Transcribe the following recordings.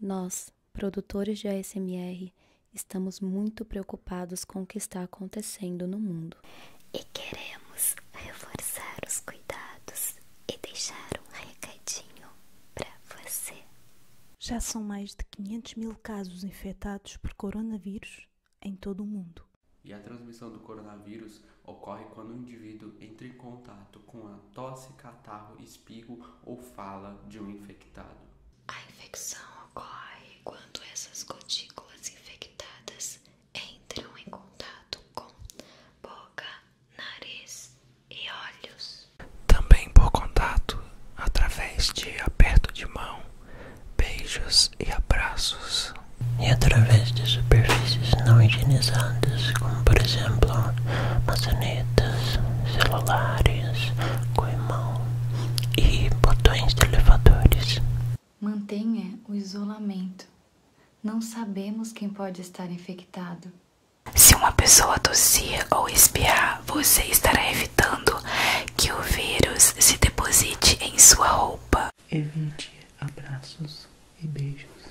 Nós, produtores de ASMR, estamos muito preocupados com o que está acontecendo no mundo. E queremos reforçar os cuidados e deixar um recadinho para você. Já são mais de 500 mil casos infectados por coronavírus em todo o mundo. E a transmissão do coronavírus ocorre quando um indivíduo entra em contato com a tosse, catarro, espigo ou fala de um infectado. A infecção ocorre quando essas cutículas infectadas entram em contato com boca, nariz e olhos. Também por contato através de aperto de mão, beijos e abraços. E através de superfícies não higienizadas, como por exemplo maçanetas, celulares, coimão e botões de elevadores. Mantenha o isolamento. Não sabemos quem pode estar infectado. Se uma pessoa tossir ou espiar, você estará evitando que o vírus se deposite em sua roupa. Evite abraços e beijos,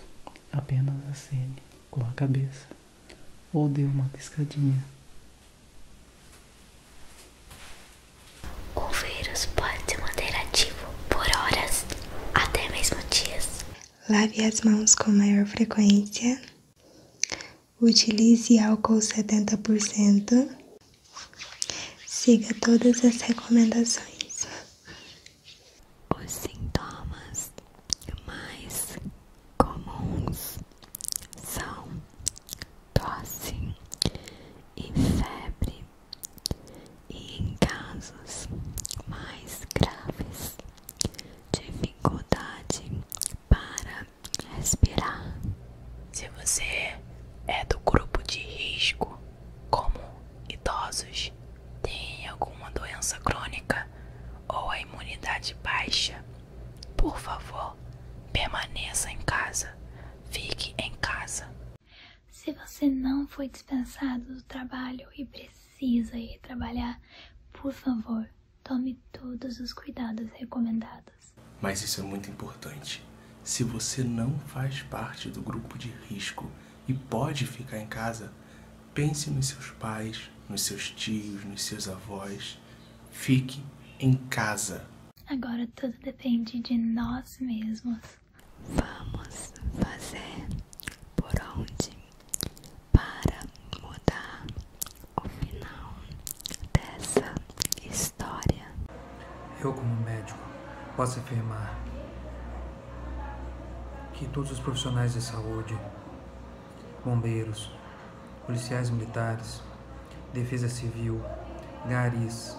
apenas acene com a cabeça ou dê uma piscadinha. O vírus pode se manter ativo por horas, até mesmo dias. Lave as mãos com maior frequência. Utilize álcool 70%. Siga todas as recomendações. Os sintomas mais comuns são tosse e febre, e em casos mais graves, dificuldade para respirar. Se você é do grupo de risco, como idosos, têm alguma doença crônica ou a imunidade baixa, por favor, permaneça em casa. Fique em casa. Se você não foi dispensado do trabalho e precisa ir trabalhar, por favor, tome todos os cuidados recomendados. Mas isso é muito importante. Se você não faz parte do grupo de risco, e pode ficar em casa, pense nos seus pais, nos seus tios, nos seus avós. Fique em casa. Agora tudo depende de nós mesmos. Vamos fazer por onde para mudar o final dessa história. Eu, como médico, posso afirmar que todos os profissionais de saúde, bombeiros, policiais militares, defesa civil, garis,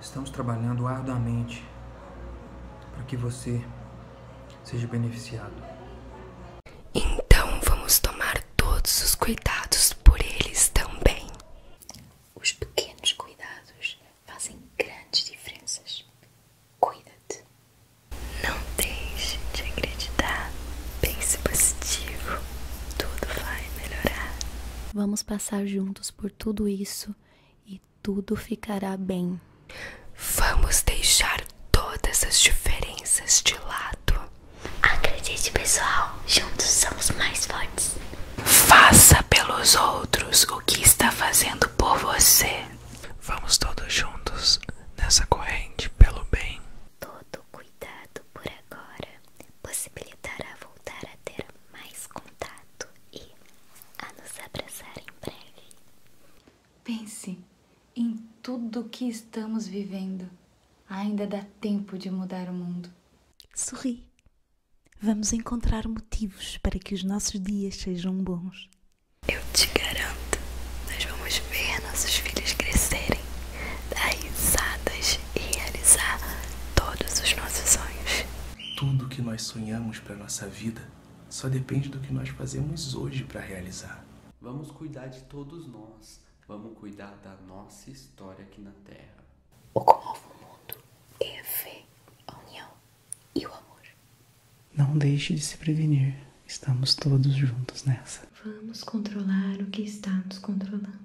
estamos trabalhando arduamente para que você seja beneficiado. Então vamos tomar todos os cuidados por eles também. Os pequenos cuidados fazem grandes diferenças. cuida Não deixe de acreditar. Pense positivo. Tudo vai melhorar. Vamos passar juntos por tudo isso e tudo ficará bem. Vamos deixar todas as diferenças de lado. Acredite, pessoal, juntos somos mais fortes. Faça pelos outros o que está fazendo por você. Vamos todos juntos nessa corrente pelo bem. Todo cuidado por agora possibilitará voltar a ter mais contato e a nos abraçar em breve. Pense em tudo o que estamos vivendo. Ainda dá tempo de mudar o mundo. Sorri. Vamos encontrar motivos para que os nossos dias sejam bons. Eu te garanto, nós vamos ver nossos filhos crescerem, dar risadas e realizar todos os nossos sonhos. Tudo que nós sonhamos para nossa vida só depende do que nós fazemos hoje para realizar. Vamos cuidar de todos nós. Vamos cuidar da nossa história aqui na Terra. O que move o mundo é a fé, a união e o amor. Não deixe de se prevenir. Estamos todos juntos nessa. Vamos controlar o que está nos controlando.